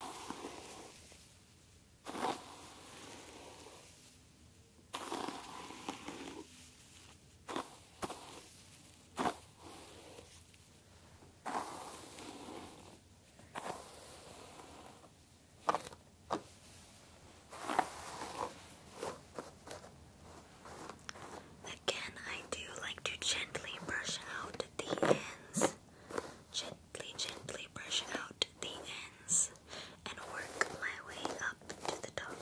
Again, I do like to gently brush out the ends gently brush out the ends and work my way up to the top.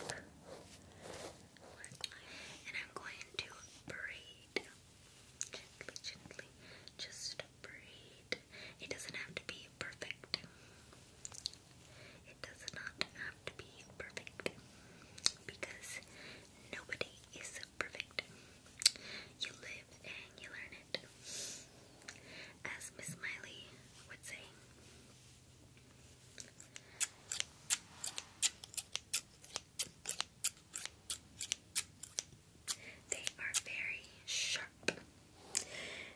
and I'm going to braid gently, just braid. It doesn't have to be perfect. It does not have to be perfect because nobody is Perfect. You live and you learn it. As Miss Miley would say. They are very sharp.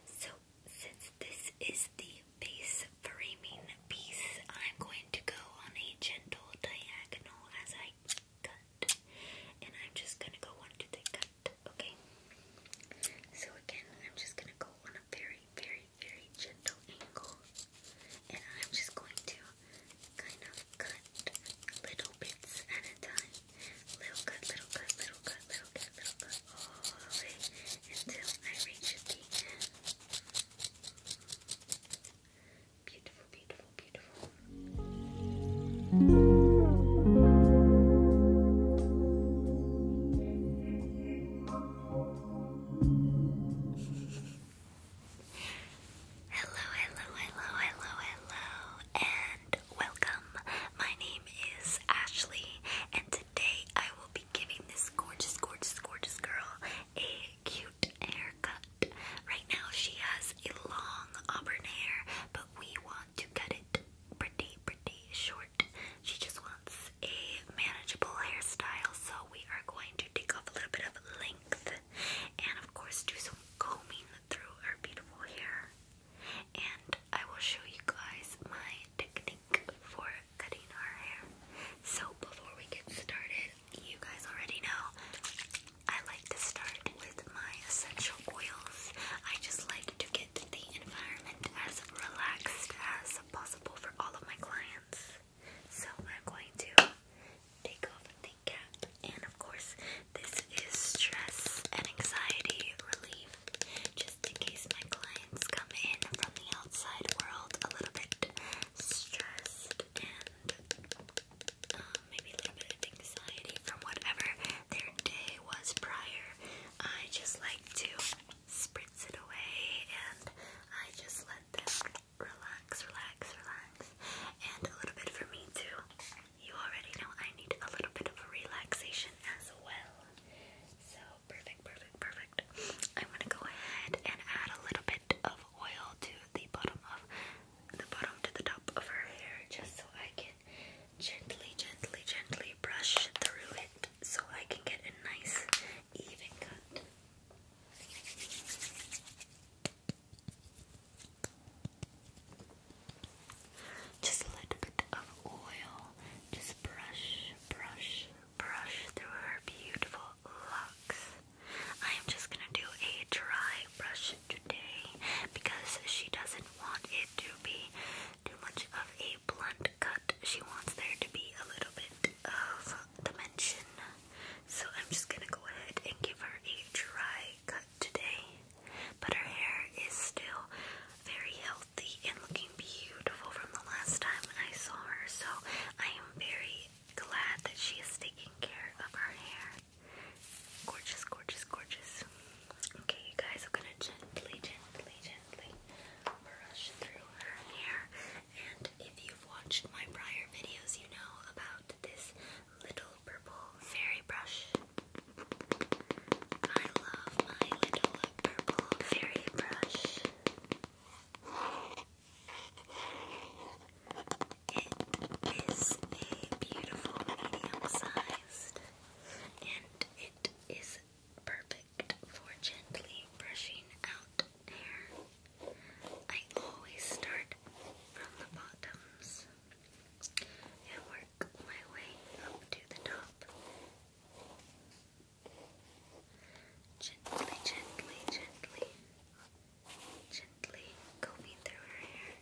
So, since this is the base framing piece, I'm going to go on a gentle diagonal as I cut. And I'm just gonna go one, two, three, cut. Okay. So again, I'm just gonna go on a very, very, very gentle angle. And I'm just going to kind of cut little bits at a time. Little cut, little cut, little cut, little cut, little cut, all the way until I reach the Beautiful, beautiful, beautiful. Hello, hello, hello, hello, hello, and welcome. My name is Ashley, and today I will be giving this gorgeous, gorgeous, gorgeous girl a cute haircut. Right now she has a long auburn hair, but we want to cut it pretty, pretty short. She just wants a manageable hairstyle, so we are going to take off a little bit of length and, of course, do some combing through her beautiful hair. And I will show you guys my technique for cutting our hair. So, before we get started, you guys already know I like to start with my essential oils. I just like to get the environment as relaxed as possible for all of my clients. So I'm going to take off the cap, and of course, this is stress and anxiety relief, just in case my clients come in from the outside world a little bit stressed and maybe a little bit of anxiety from whatever their day was prior. I just like to spritz it away and I just let them relax, relax, relax. And a little bit for me too. You already know I need a little bit of a relaxation as well. So perfect, perfect, perfect. I'm gonna go ahead and add a little bit of oil to the bottom of the bottom to the top of her hair just so I can gently, gently, gently brush through it so I can get a nice, even cut. Just a little bit of oil, just brush, brush, brush through her beautiful locks. I am just gonna do a dry brush today because she doesn't want it to be too much of a blunt cut. She wants there to be a little bit of dimension. So I'm just gonna go ahead and give her a dry cut today. But her hair is still very healthy and looking beautiful from the last time I saw her. So I am very glad that she is taking care of her hair. Gorgeous, gorgeous, gorgeous. Okay, you guys, I'm gonna gently, gently, gently brush through her hair. And if you've watched my prior videos, you know about this little purple fairy brush. I love my little purple fairy brush. It is a beautiful medium sized and it is perfect for gently brushing out hair. I always start from the bottoms and work my way up to the top. Gently, gently, gently gently combing through her hair.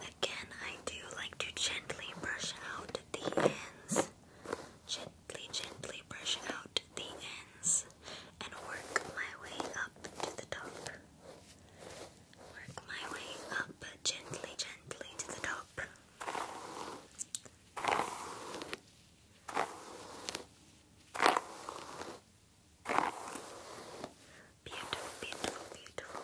Again, I do like to gently brush out the ends. Gently, gently brush out the ends and work my way up to the top. Work my way up gently, gently to the top. Beautiful, beautiful, beautiful.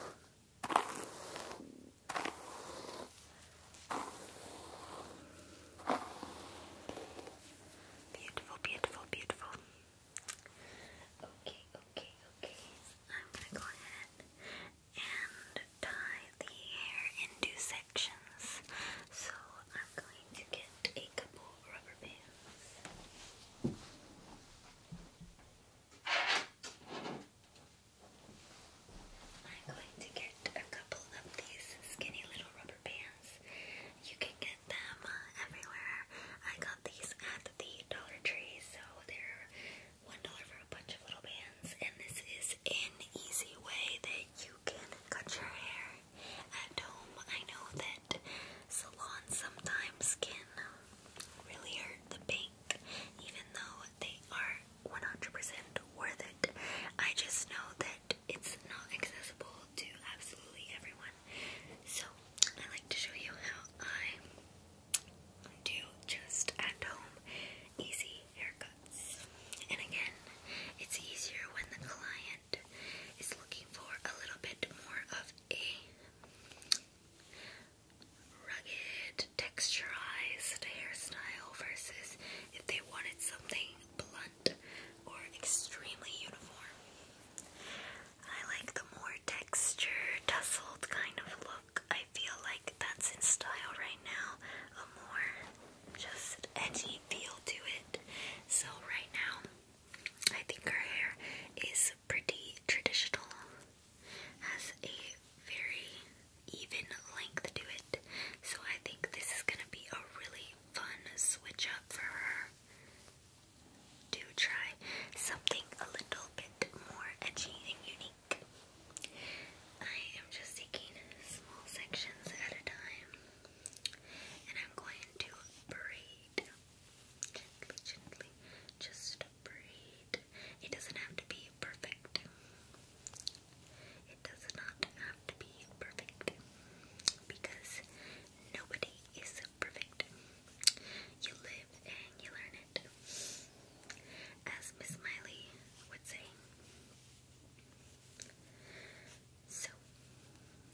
Beautiful, beautiful, beautiful. Okay, okay, okay. I'm gonna go ahead and tie the hair into sections. So I'm going to get a couple rubber bands. I'm going to get a couple of these skinny little rubber bands. You can get them uh, everywhere. I got these at the Dollar Tree, so they're $1 for a bunch of little bands. And this is an easy way that you can cut your hair at home. I know that salons sometimes can really hurt the pink, even though they are 100% worth it. I just know that it's not accessible to absolutely everyone. So, I like to show you how I do just at home easy haircuts. And again, it's easier when the client is looking for a little bit more of a rugged, texturized hairstyle versus if they wanted something blunt or extremely uniform. I like the more texture, tussled kind of look. I feel like that's in style right now. A more just edgy feel to it. So right now I think her hair is pretty traditional, has a very even length to it, so I think this is gonna be a really fun switch up for her to try something a little bit more edgy and unique. I am just taking small sections at a time and I'm going to braid breathe gently. Just breathe. It doesn't have to be perfect. It does not have to be perfect because nobody is perfect. You live and you learn it. As Miss Miley would say, so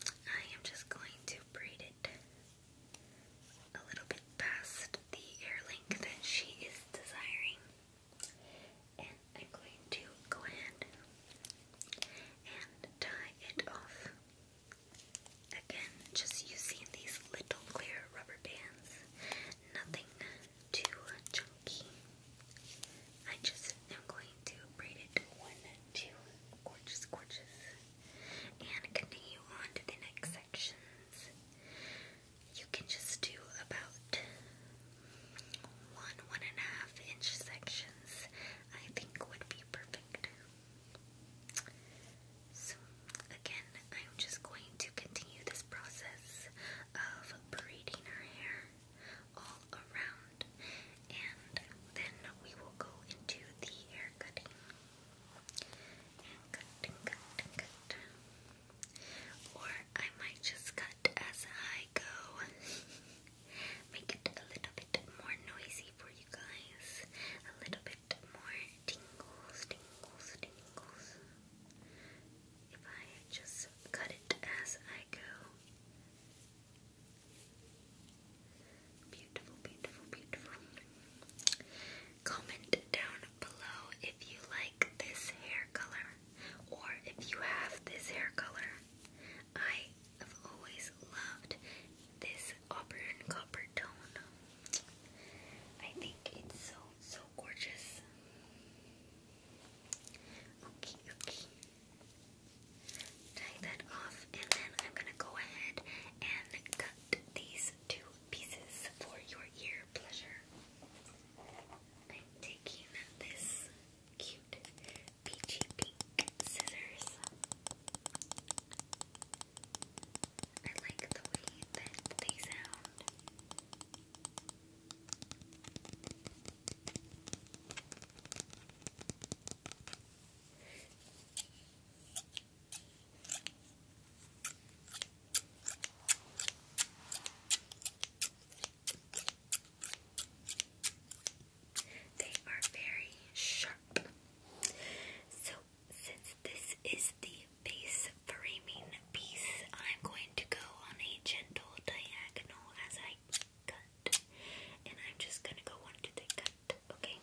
I am just going to braid it a little bit past the air length that she is desiring. And I'm going to go ahead and tie it off. Again, just using these little clear rubber bands. Nothing too chunky. I just am going to braid it one to gorgeous, gorgeous. And continue on the next sections. You can just do about one, one and a half inch sections, I think would be perfect. So, again, I'm just going to continue this process of braiding her hair all around, and then we will go into the hair Or I might just cut as I go. Make it a little bit more noisy for you guys. A little bit more tingles, tingles, tingles. If I just cut it as I go, Comment down below if you like this hair color or if you have this hair color. I have always loved this auburn copper tone. I think it's so, so gorgeous. okay. Tie that off, and then I'm gonna go ahead and cut these two pieces for your ear pleasure. I'm taking this cute peachy pink scissors. I like the way that they sound. They are very sharp. So, since this is the base framing piece, I'm going to go on a gentle diagonal as I cut cut. And I'm just gonna go on the cut, okay?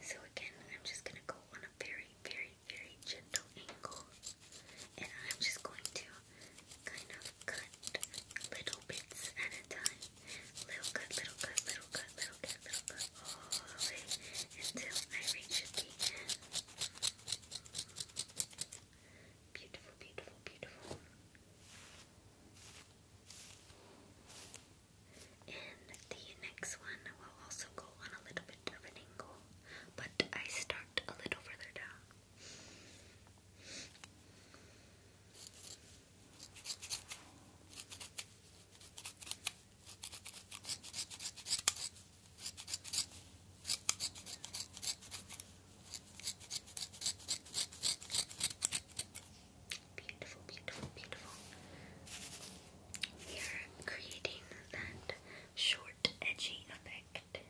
So again, I'm just gonna go on a very, very, very gentle angle. And I'm just going to kind of cut little bits at a time. Little cut, little cut, little cut, little cut, little cut, all the way until I reach the Beautiful, beautiful, beautiful. And the next one will also go on a little bit of an angle, but I start a little further down. Beautiful, beautiful, beautiful. We are creating that short, edgy effect,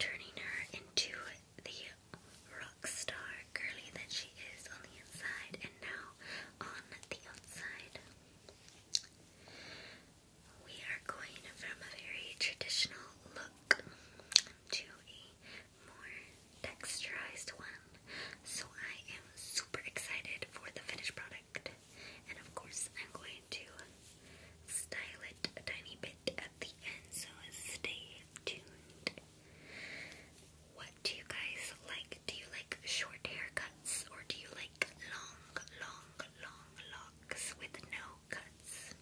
turning her into the rock star girly that she is on the inside and now on the outside. We are going from a very traditional look to a more texturized one. So I am super excited for the finished product. And of course, I'm going to style it a tiny bit at the end, so stay tuned. What do you guys like? Do you like short haircuts or do you like long, long, long locks with no cuts?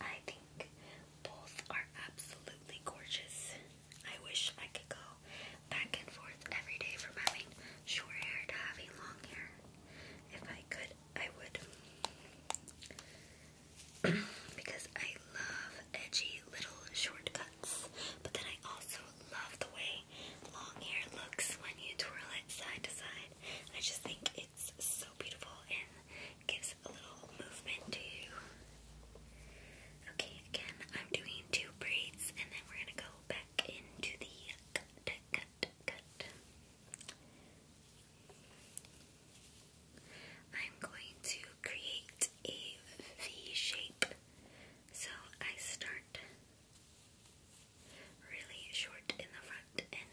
I think both are absolutely gorgeous. I wish I could go back and forth every day from having short hair to having long hair. If I could, I would. because I love edgy little shortcuts. But then I also love the way long hair looks when you twirl it side to side. I just think it's so beautiful and gives a little movement to Okay, again, I'm doing two braids and then we're gonna go back into the cut, cut, cut. I'm going to create a V shape. So I start really short in the front and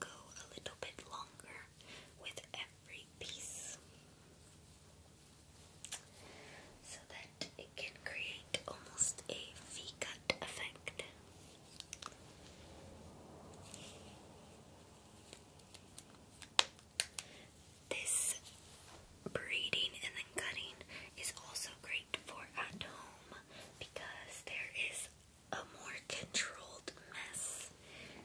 go a little bit longer with every piece so that it can create almost a V-cut effect. This braiding and then cutting is also great for at home because there is a more controlled mess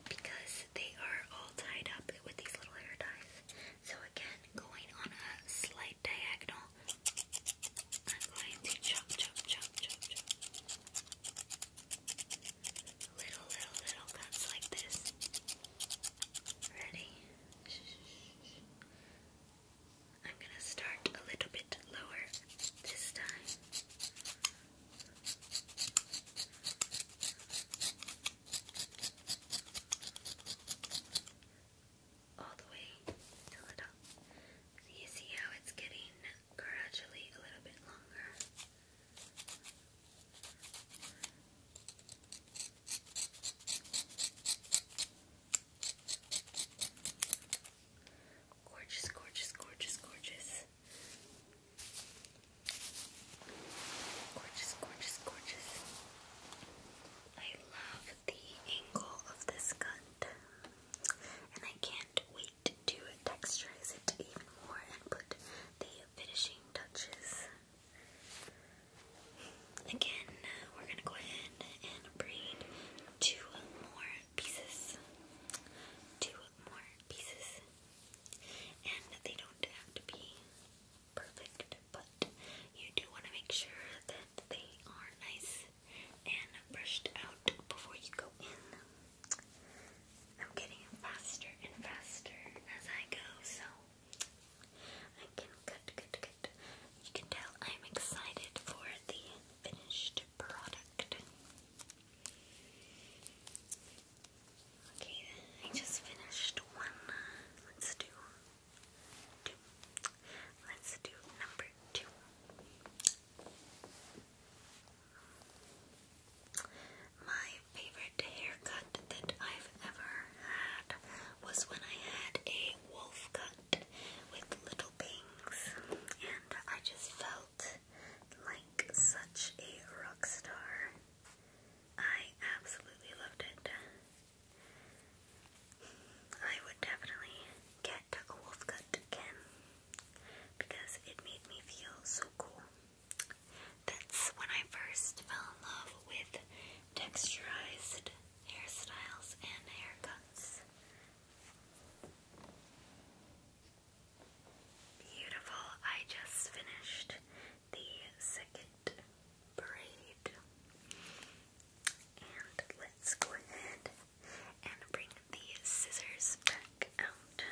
because they are all tied up with these little hair ties. So again, going on a slight diagonal, I'm going to chop, chop, chop, chop, chop. Little, little, little cuts like this. Ready? I'm gonna start a little bit lower this time all the way till it up. So you see how it's getting gradually a little bit longer. Gorgeous, gorgeous, gorgeous, gorgeous. Gorgeous, gorgeous, gorgeous. I love the angle of this cut. And I can't wait to texturize it even more and put the finishing touches. Again, we're gonna go ahead and braid two more pieces. Two more pieces. And they don't have to be perfect, but you do want to make sure that they are nice and brushed out before you go in. I'm getting faster and faster as I go, so I can cut, cut, cut. You can tell I'm excited for the finished product. Okay, I just finished one. Let's do let Let's do number two. My favorite haircut that I've ever had was when I had a wolf cut with little and I just felt like such a rock star. I absolutely loved it. I would definitely get a wolf cut again because it made me feel so cool. That's when I first fell in love with texturized hairstyles and haircuts. Beautiful. I just finished the second braid. And let's go ahead and bring the scissors back out.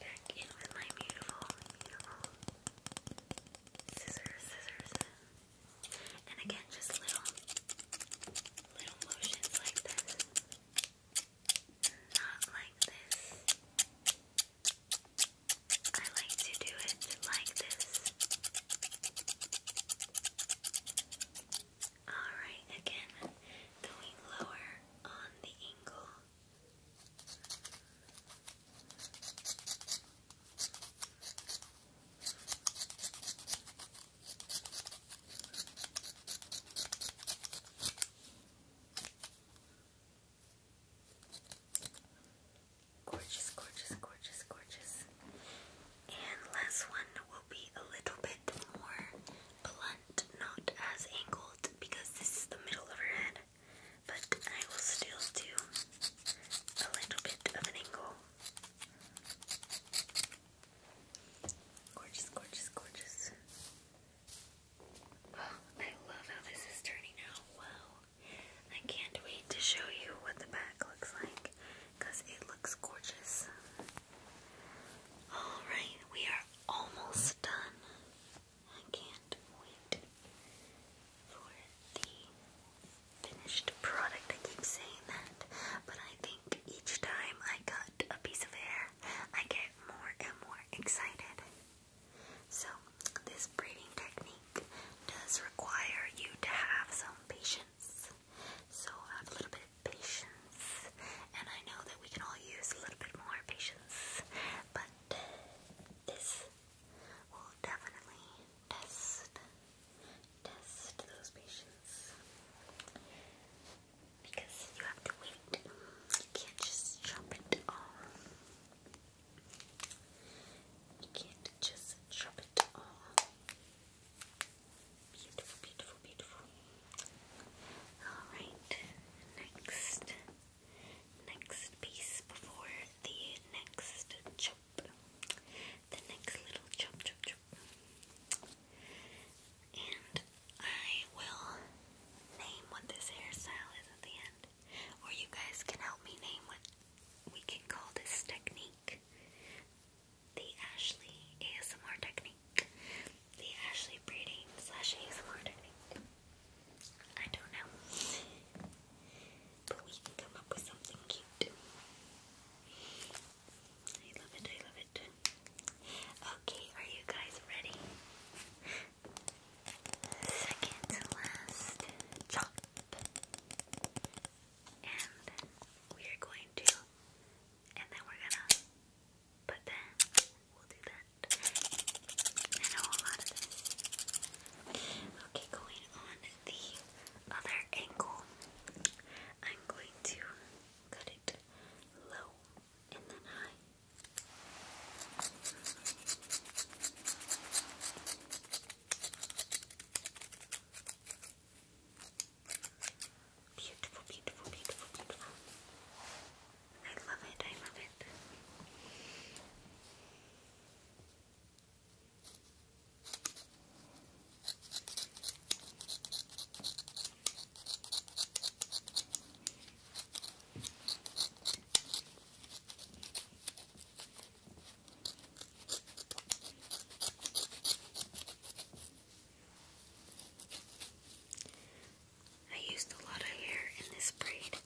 Back in with my beautiful, beautiful scissors, scissors. And again, just little, little motions like this. Not like this. I like to do it like this. Alright, again, going lower on the angle. Gorgeous, gorgeous, gorgeous, gorgeous. And last one will be a little bit more blunt, not as angled because this is the middle of her head. But I will still do a little bit of an angle. Gorgeous, gorgeous, gorgeous. Oh, I love how this is turning out. Wow. I can't wait to show you what the back looks like because it looks gorgeous. Alright, we are almost done. I can't wait for the finished product. I keep saying that, but I think each time I cut a piece of hair, I get more and more excited. So, this braiding technique does require you to have some patience. So, have a little bit of patience, and I know that we can all use a little bit more patience, but this will definitely test test those patients because you have to wait. You can't just chop it all. You can't just chop it all. Beautiful, beautiful, beautiful. All right, next, next piece before the next the next little chop chop chop. And I will name what this hairstyle is at the end. Or you guys can help me name what we can call this technique. The Ashley ASMR technique. The Ashley braiding slash ASMR technique. I don't know. But we can come up with something cute. I love it, I love it. Okay, are you guys ready? Second to last And we are going to, and then we're gonna put that. We'll do that. Okay, going on the other ankle. I'm going to cut it low and then high. Beautiful, beautiful, beautiful, beautiful. I love it, I love it. I used a lot of hair in this braid.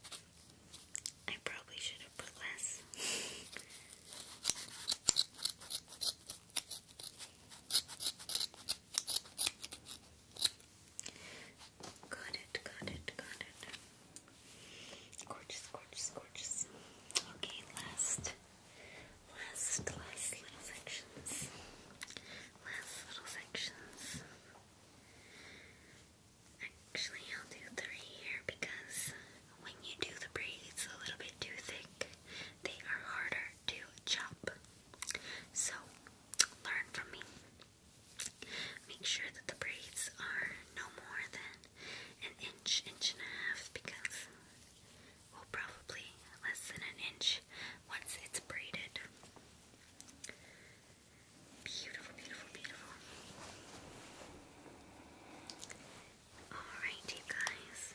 I probably should have put less. Got it, got it, got it. Gorgeous, gorgeous, gorgeous. Okay, last, last, last little sections. Last little sections. Actually, I'll do three here because when you do the braids a little bit too thick, they are harder to chop. So, learn from me. Make sure that the braids are no more than an inch, inch and a half, because well, probably less than an inch once it's braided. Beautiful, beautiful, beautiful. Alright, you guys.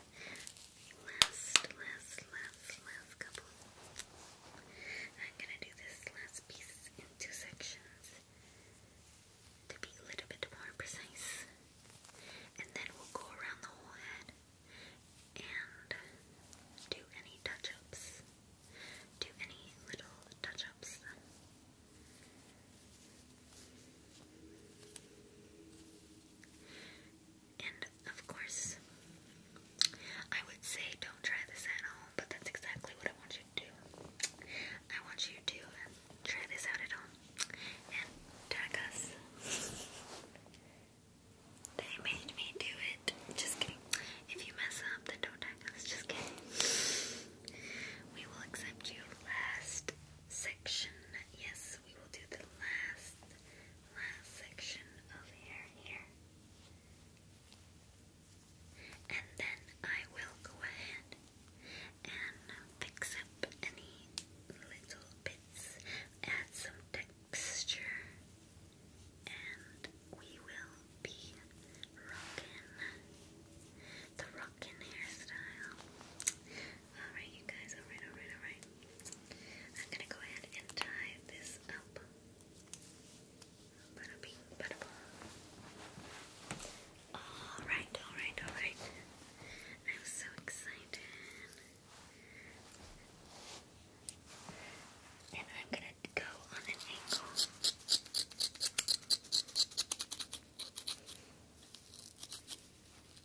Last, last, last, last couple. I'm gonna do this last piece in two sections to be a little bit more precise. And then we'll go around the whole head and do any touch ups. Do any little touch ups. And of course, I would say don't try this at home, but that's exactly what I want you to do. I want you to try this out at home and tag us. They made me do it. Just kidding. If you mess up, then don't tag us. Just kidding. We will accept you last section. Yes, we will do the last, last section of hair here. And then I will go ahead and fix up any little bits, add some texture, and we will be rocking the rockin' hairstyle. Alright, you guys, alright, alright, alright. I'm gonna go ahead and tie this up. Bada bing, Alright, alright, alright. I'm so excited. And I'm gonna go on an angle.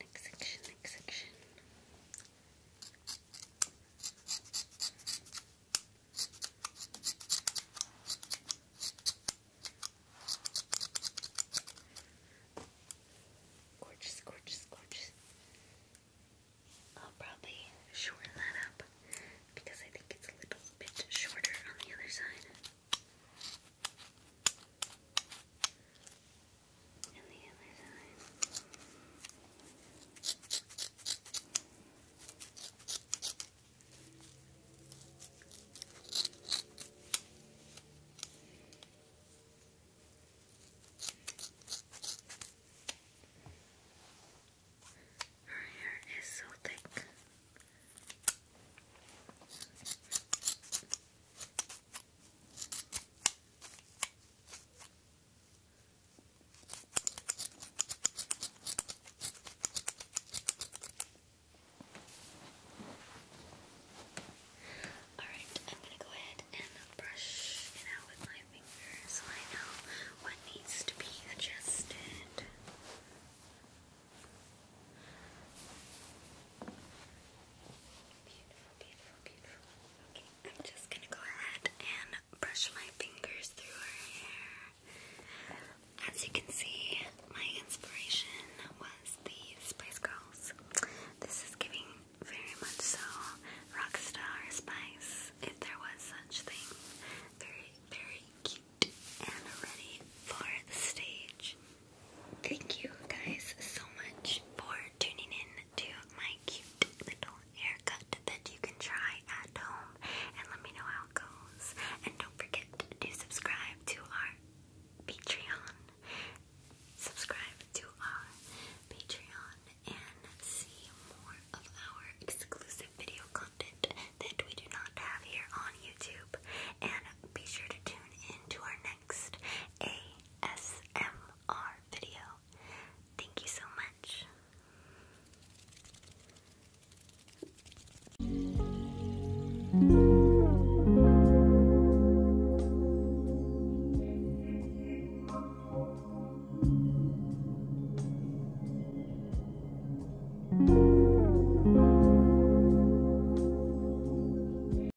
next section, next section. Gorgeous, gorgeous, gorgeous. I'll probably shorten that up because I think it's a little bit shorter on the other side and the Her hair is so thick. Alright, I'm going to go ahead and brush it out with my finger I know what needs to be adjusted. Beautiful, beautiful, beautiful. Okay, I'm just gonna go ahead and brush my fingers through her hair. As you can see, my inspiration was the Spice Girls. This is giving very much so rockstar spice, if there was such thing. Very, very cute and ready for the stage. Thank you guys so much for tuning in to my cute little haircut that you can try at home and let me know how it goes. And don't forget to subscribe to our Patreon. Subscribe to our Patreon and see more of our exclusive video content that we do not have here on YouTube. And be sure to tune in to our next ASMR video. Thank you so much.